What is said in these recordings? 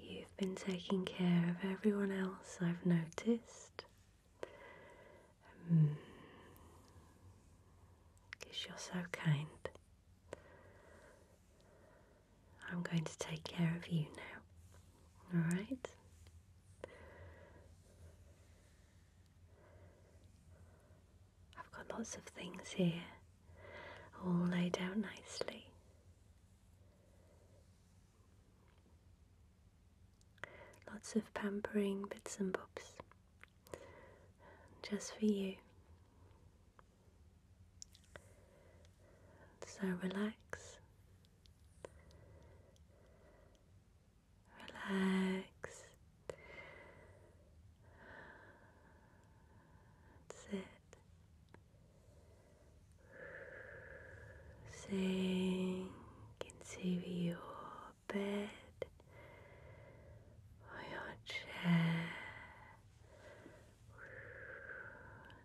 You've been taking care of everyone else, I've noticed. Because hmm. you're so kind. I'm going to take care of you now. Alright? I've got lots of things here all laid out nicely. Lots of pampering bits and bobs just for you. So relax, relax. That's Sink into your bed or your chair.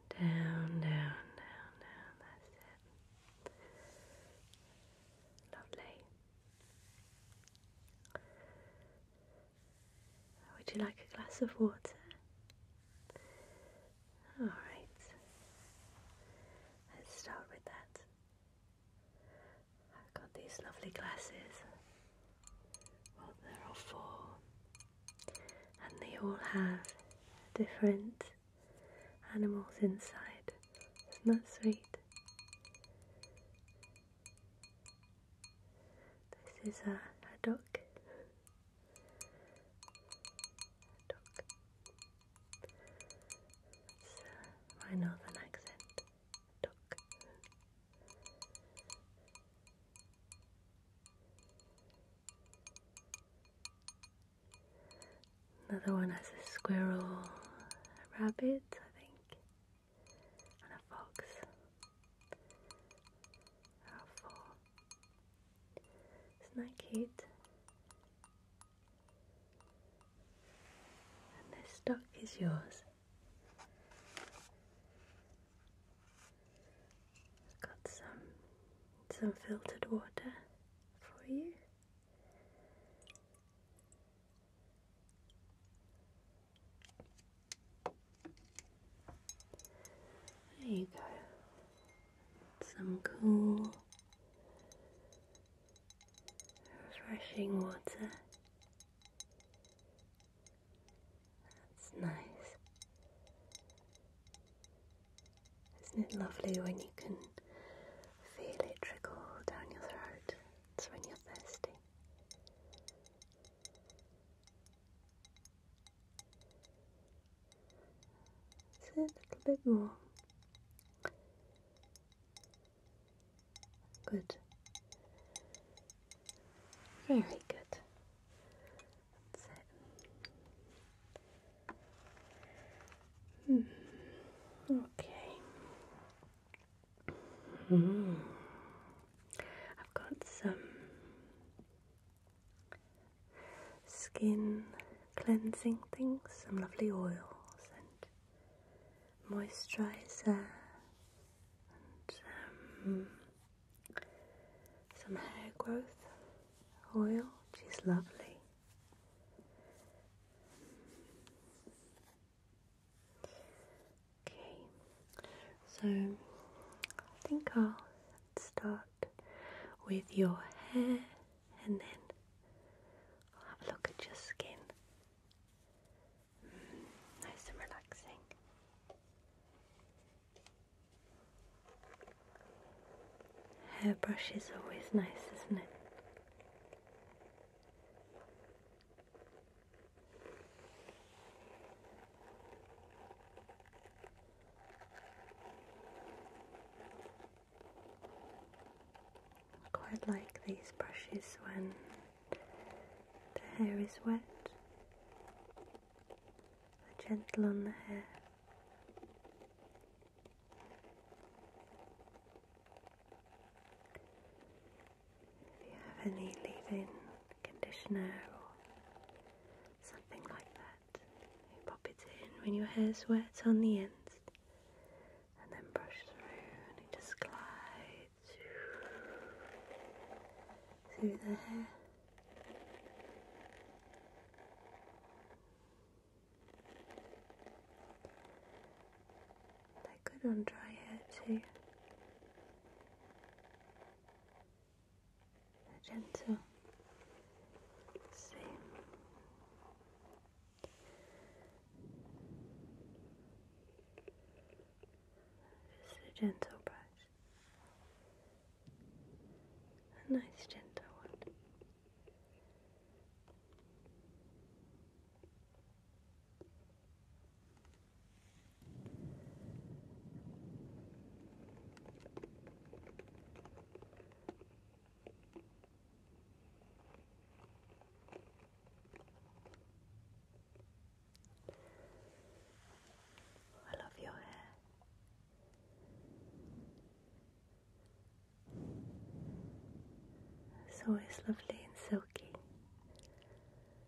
Down, down, down, down. That's it. Lovely. Would you like a glass of water? All right. Let's start with that. I've got these lovely glasses. Well, there are four, and they all have different animals inside. Isn't that sweet? This is a, a duck. duck. It's my northern accent. duck. Another one has a squirrel, a rabbit, I think, and a fox. How full. Isn't that And this stock is yours. got some some filtered water for you. There you go. Some cool, refreshing water. That's nice. Isn't it lovely when you can feel it trickle down your throat? It's when you're thirsty. Let's a little bit more. Good. Very good. That's it. Hmm. Okay. Mm. I've got some skin cleansing things, some lovely oils and moisturizer, and um, some hair growth oil, which is lovely. Okay, so I think I'll start with your hair and then I'll have a look at your skin. Mm, nice and relaxing. Hairbrush is always nice, isn't it? I quite like these brushes when the hair is wet. they gentle on the hair. If you have any leave in conditioner or something like that. You pop it in when your hair's wet on the ends and then brush through and it just glides through the hair. They're good on dry hair too a gentle same. Just a gentle brush, a nice gentle one. I love your hair. It's always lovely and silky.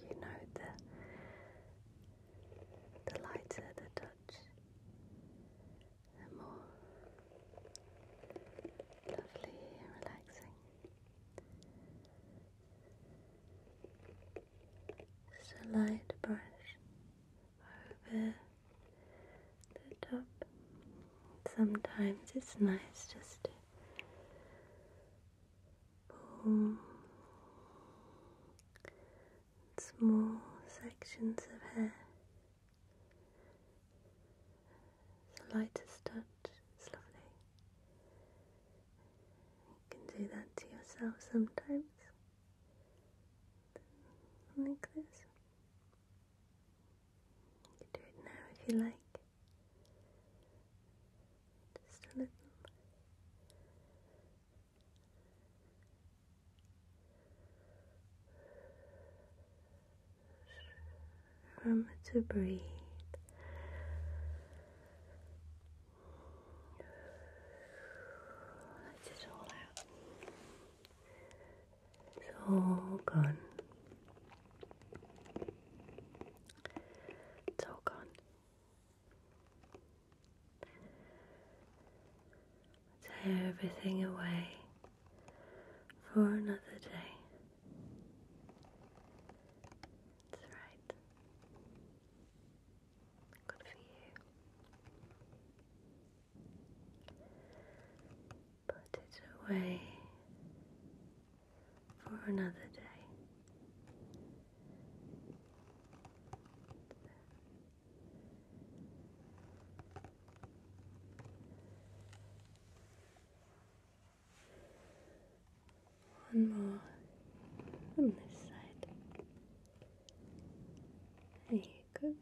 You know the the lighter the touch, the more lovely and relaxing just a light brush over the top. Sometimes it's nice just to pull small sections of hair. The lightest touch is lovely. You can do that to yourself sometimes. Like this. You can do it now if you like. Just a little. Remember to breathe. Let it all out. It's all gone. It's all gone. Tear everything away for another day. That's right. Good for you. Put it away for another day. One more on this side. There you go.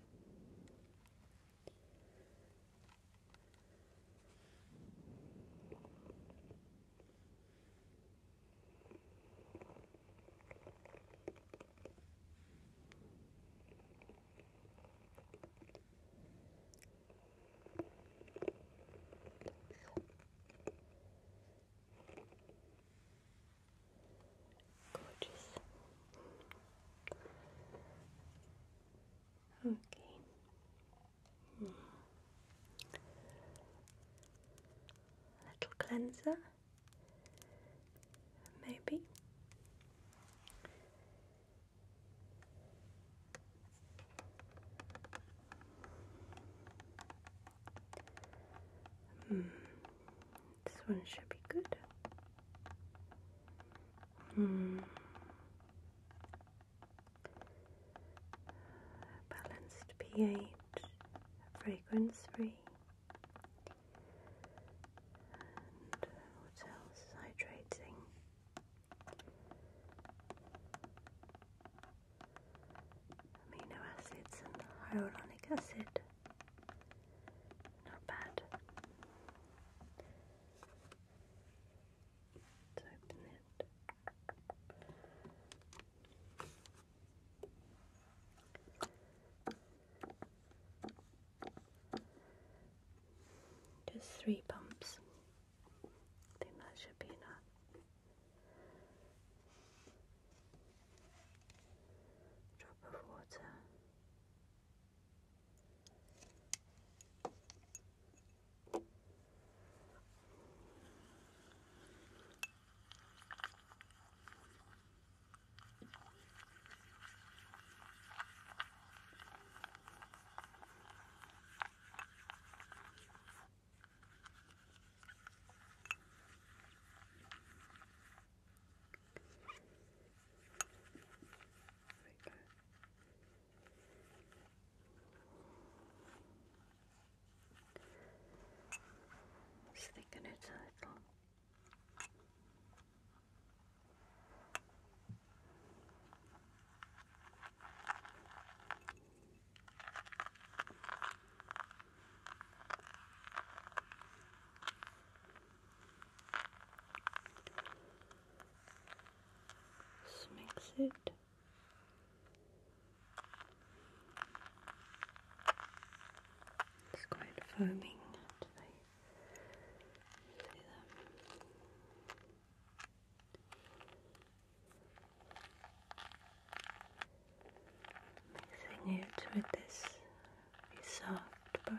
Gorgeous. Okay. Hmm. Little cleanser, maybe. Hmm. This one should be good. Hmm. Balanced pH, fragrance free. And what Hydrating amino acids and hyaluronic acid. Not bad. Let's open it. Just three pumps. I think that should be enough drop of water we go. it a little. Just mix it. It's quite foaming Mixing it with this soft brush.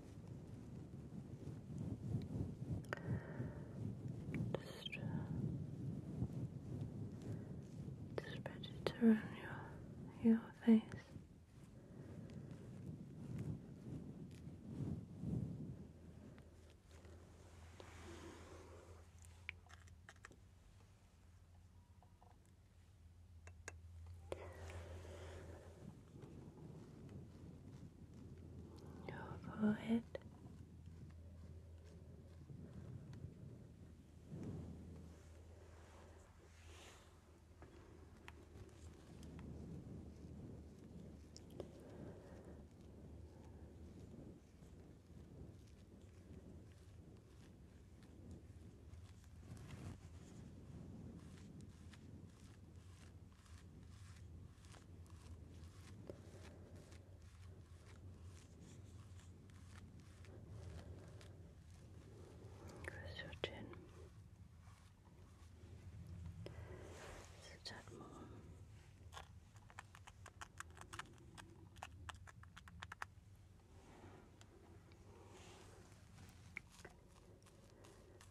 Just, uh, just spread it around your your face your forehead. Your Across your chin. So that more.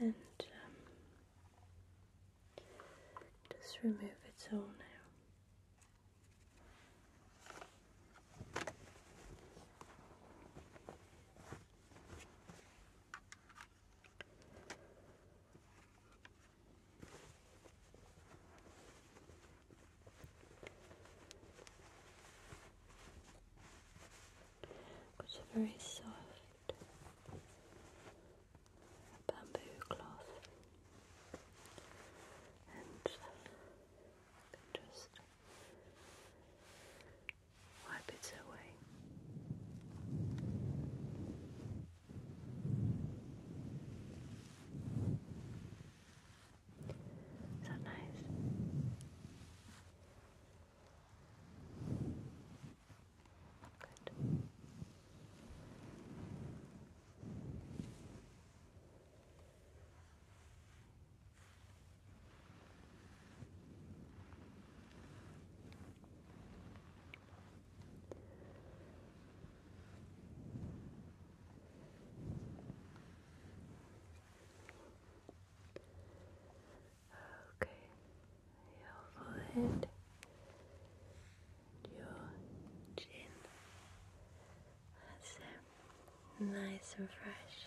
And um, just remove it all now. It's a very soft bamboo cloth, and you uh, just wipe it away. Is nice? Good. Okay, your forehead, your chin. That's Nice and fresh.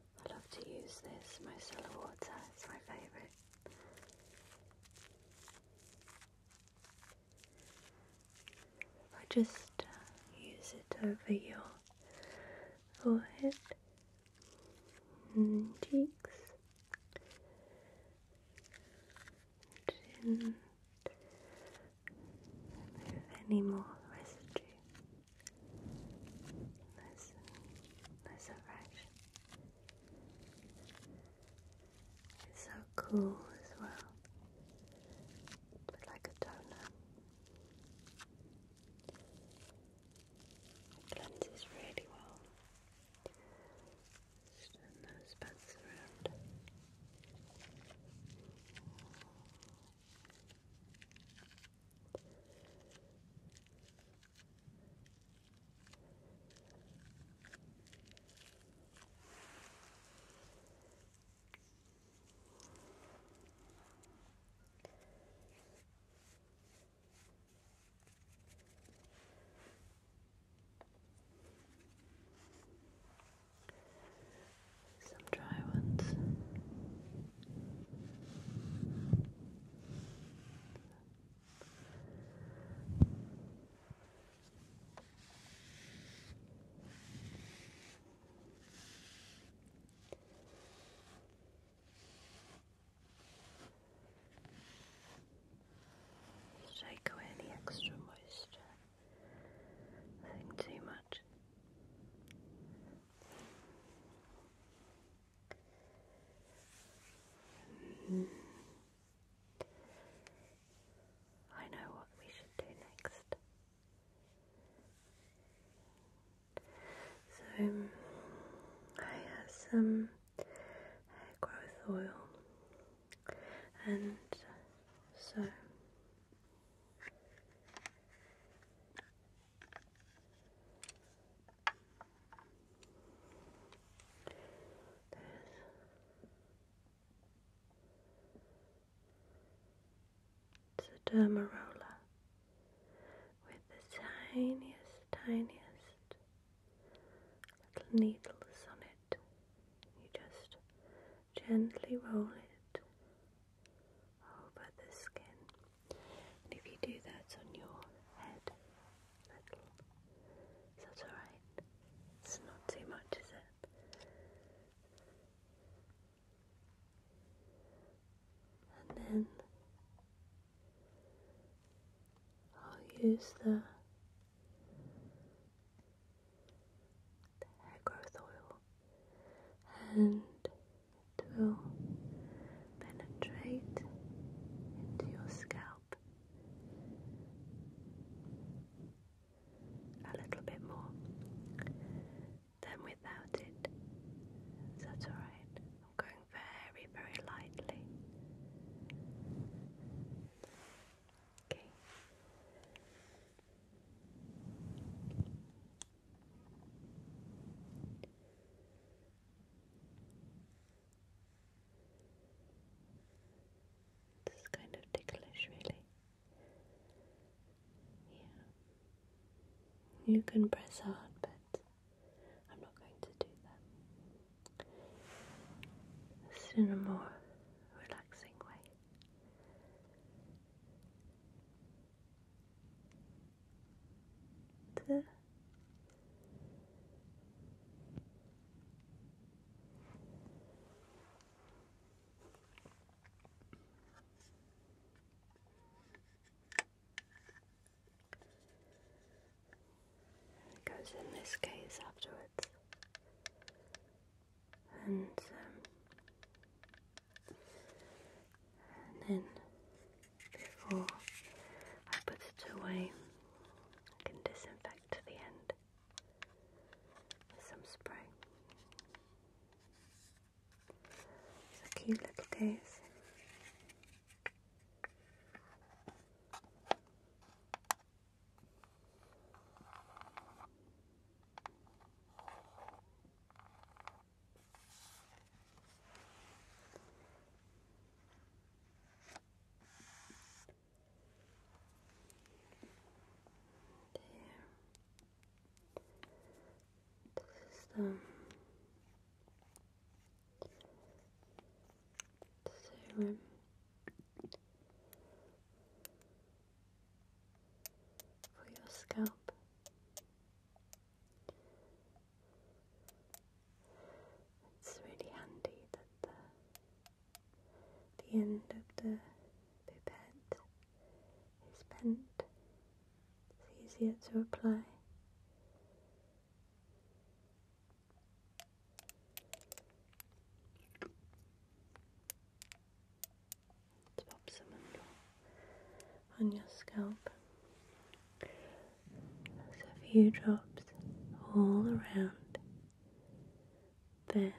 I love to use this micellar water, it's my favourite. I just uh, use it over your forehead and cheeks did remove any more residue. Nice nice and It's so cool as well. But like a toner. It cleanses really well. Just turn those bats around. Just some dry ones. Shake away the extra moisture. Nothing too much. Mm. I know what we should do next. So, I have some growth oil, and so there's a derma roller with the tiniest, tiniest little needles on it. You just gently roll it over the skin. And if you do that on your head, that's alright? It's not too much, is it? And then I'll use the the hair growth oil, and to penetrate into your scalp a little bit more than without it. So alright. I'm going very, very lightly. Okay. This is kind of ticklish, really. Yeah. You can press hard, but I'm not going to do that just in a more relaxing way. There. It goes in this case afterwards. Um, and, then before I put it away, I can disinfect the end with some spray. It's a cute little taste. There. This is the for your scalp. It's really handy that the, the end of the pipette is bent. It's easier to apply Let's pop on your scalp. There's a few drops all around. Then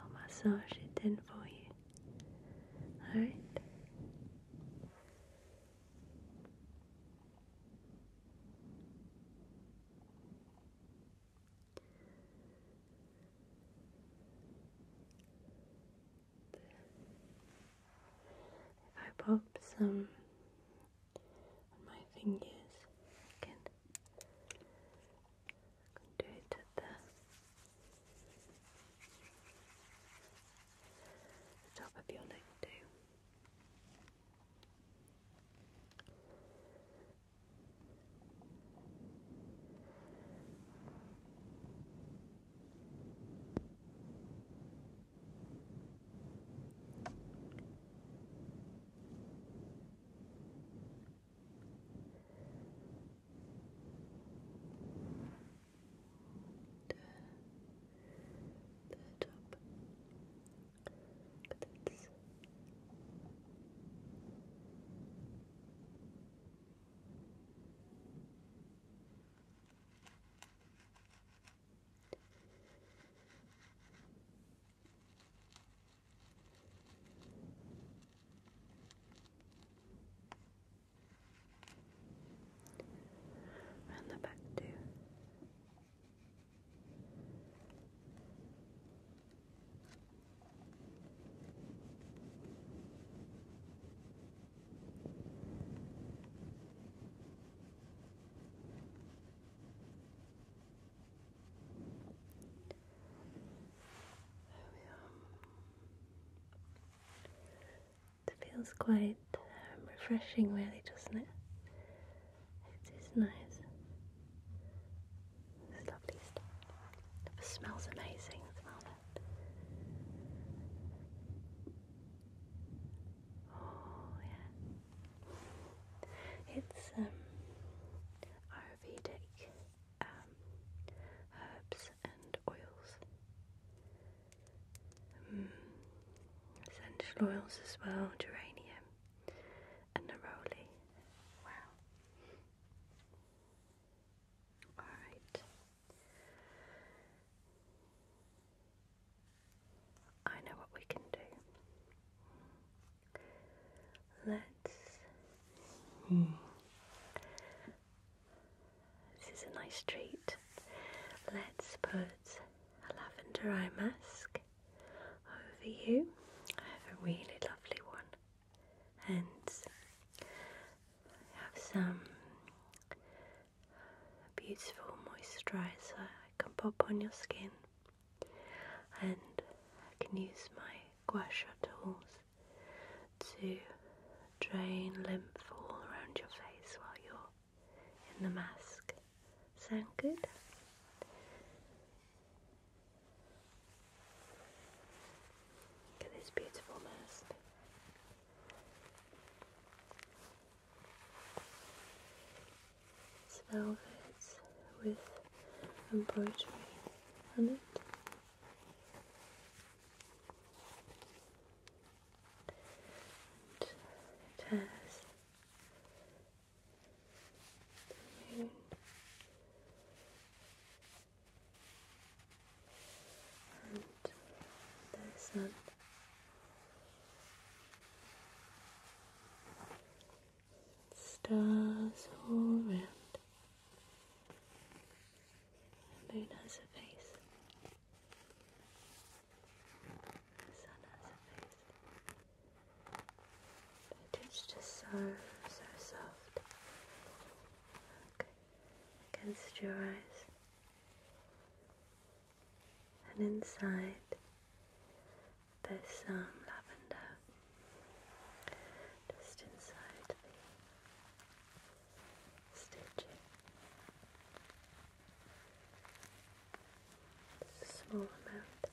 I'll massage it in for you. Alright? If I pop some on my fingers, can, do it at the top of your neck too the top but it's the back too. It feels quite um, refreshing, really, doesn't it? It is nice. It's lovely stuff. smells amazing, smell it. Oh yeah. It's um Ayurvedic um, herbs and oils. Um, essential oils as well, geranium. A neroli. Wow. Alright. I know what we can do. Let's. This is a nice treat. Let's put a lavender eye mask over you. I have a really lovely one, and I have some beautiful moisturizer I can pop on your skin, and I can use my gua sha tools to drain lymph all around your face while you're in the mask. Sound good? Look at this beautiful mask. It's velvet with embroidery on it. And it has Okay. And this one. Stars all around. The moon has a face. The sun has a face. It is just so, so soft. against your eyes. And inside, there's some lavender. Just inside the stitching. small amount.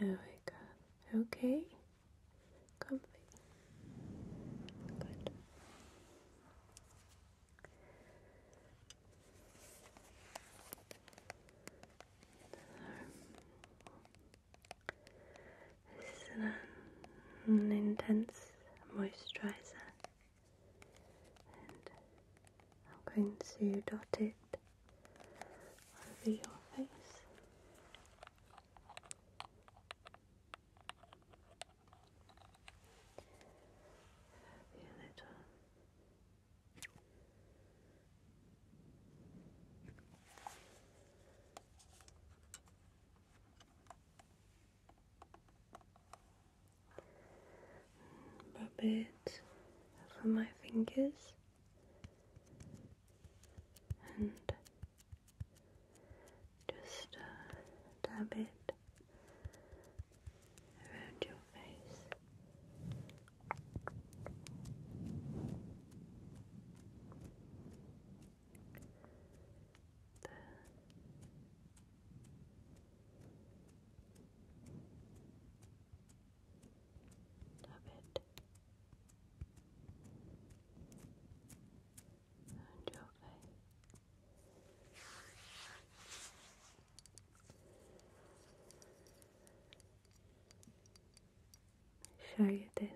There we go. Okay. Comfy. Good. This is an, intense moisturizer, and I'm going to dot it over your face. a little rub it over my fingers and just uh, dab it around your face. Love it. And your face. Show you this.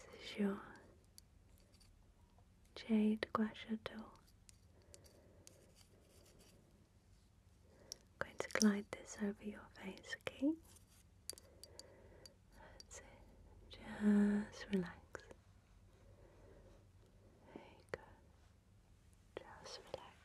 This is yours. Jade Guachato. i going to glide this over your face, okay? Just relax. There Just relax.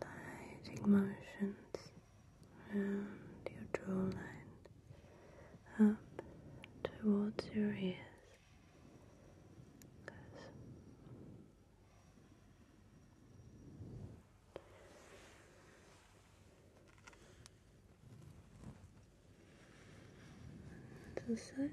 Lighting motions around your jawline up towards your ears to the side. Just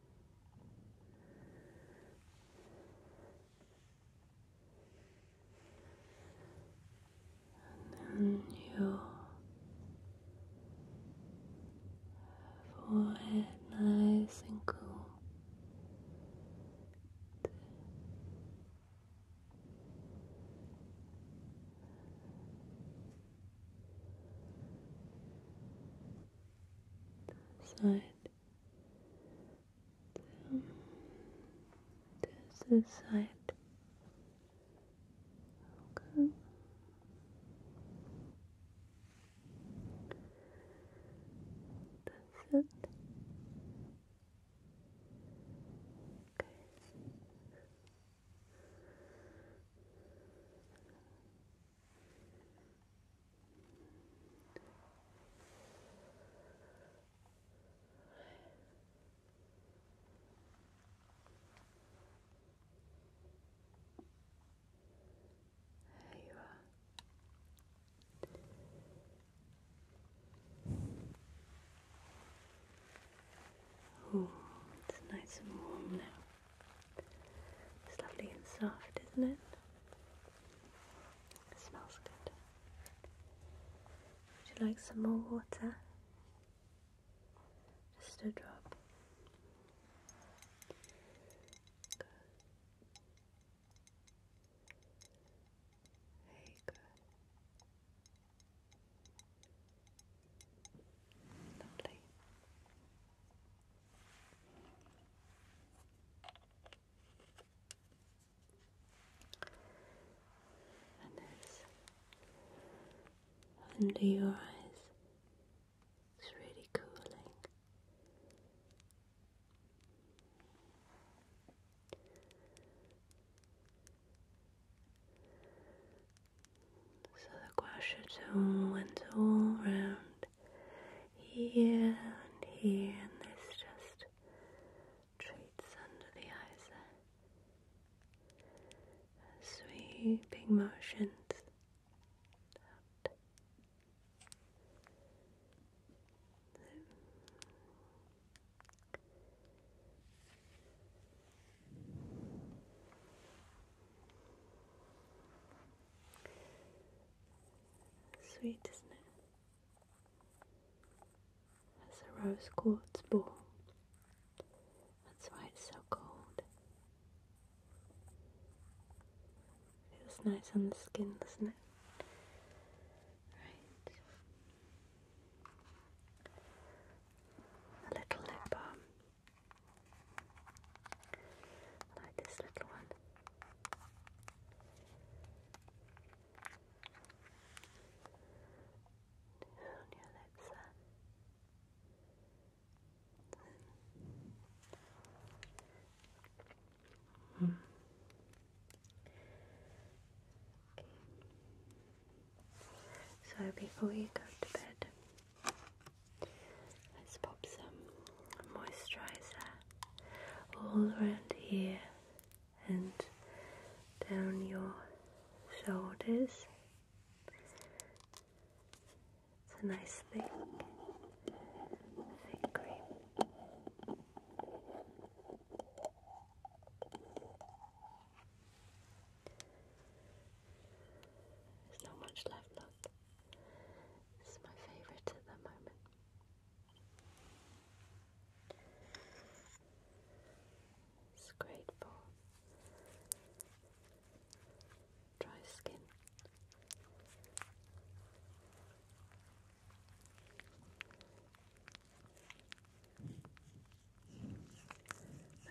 And then your forehead nice and cool side This is side. Okay. That's it. Okay. There you are. Oh, it's nice and warm now. It's lovely and soft, isn't it? It smells good. Would you like some more water? Just a drop. Good. Very good. Lovely and that's under your eyes. It's really cooling. So the gua tone went all round here and here, and this just treats under the eyes there. Sweeping motions Sweet, isn't it? That's a rose quartz ball. That's why it's so cold. Feels nice on the skin, doesn't it? Right. A little lip balm like this little one. On your lips there. Hmm. So before you go to bed, Let's pop some moisturizer all around here and down your shoulders. It's a nice thing. thick cream. There's not much left, look. It's my favorite at the moment. It's great for dry skin.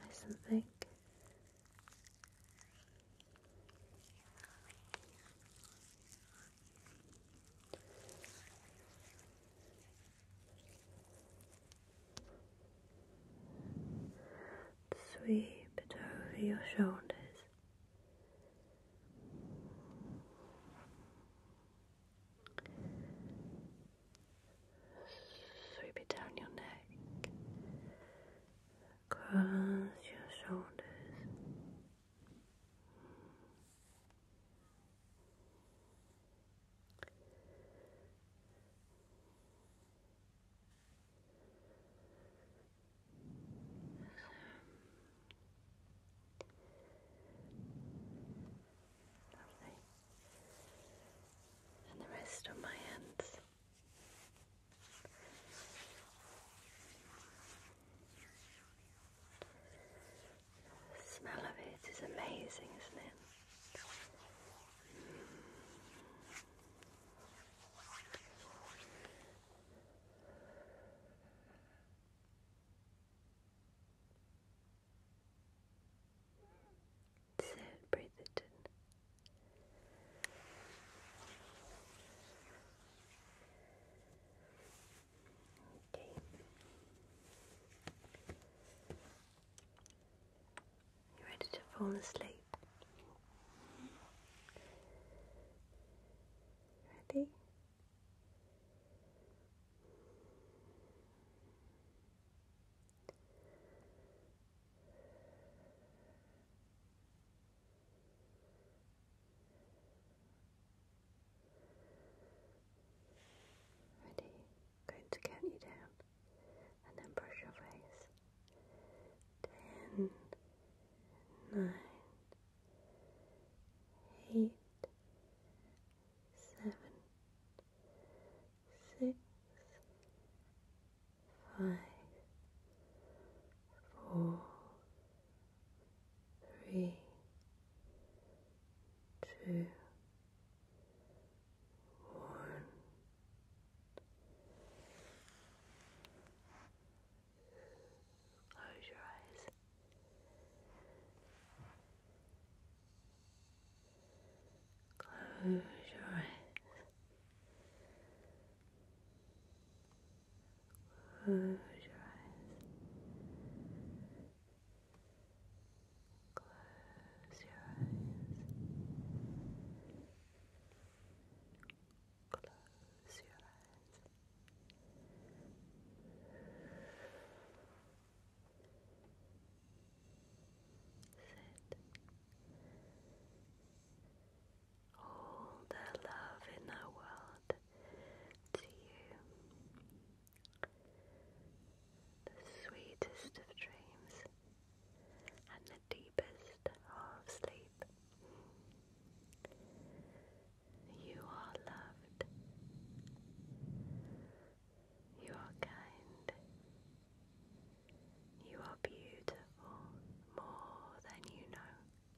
Nice and thick. Sweep it over your shoulders. Sweep it down your neck. Cross your shoulders. And the rest of my hands smell of it is amazing, isn't it? breathe it in. You ready to fall asleep? Ready? Ready? Going to count you down and then brush your face. Ten, nine, eight, seven, six, five, four, three, two, one. Close your eyes. Close your eyes. Close your eyes. Close your eyes. Close your eyes. Sit all the love in the world to you. The sweetest of dreams and the deepest of sleep. You are loved. You are kind. You are beautiful more than you know.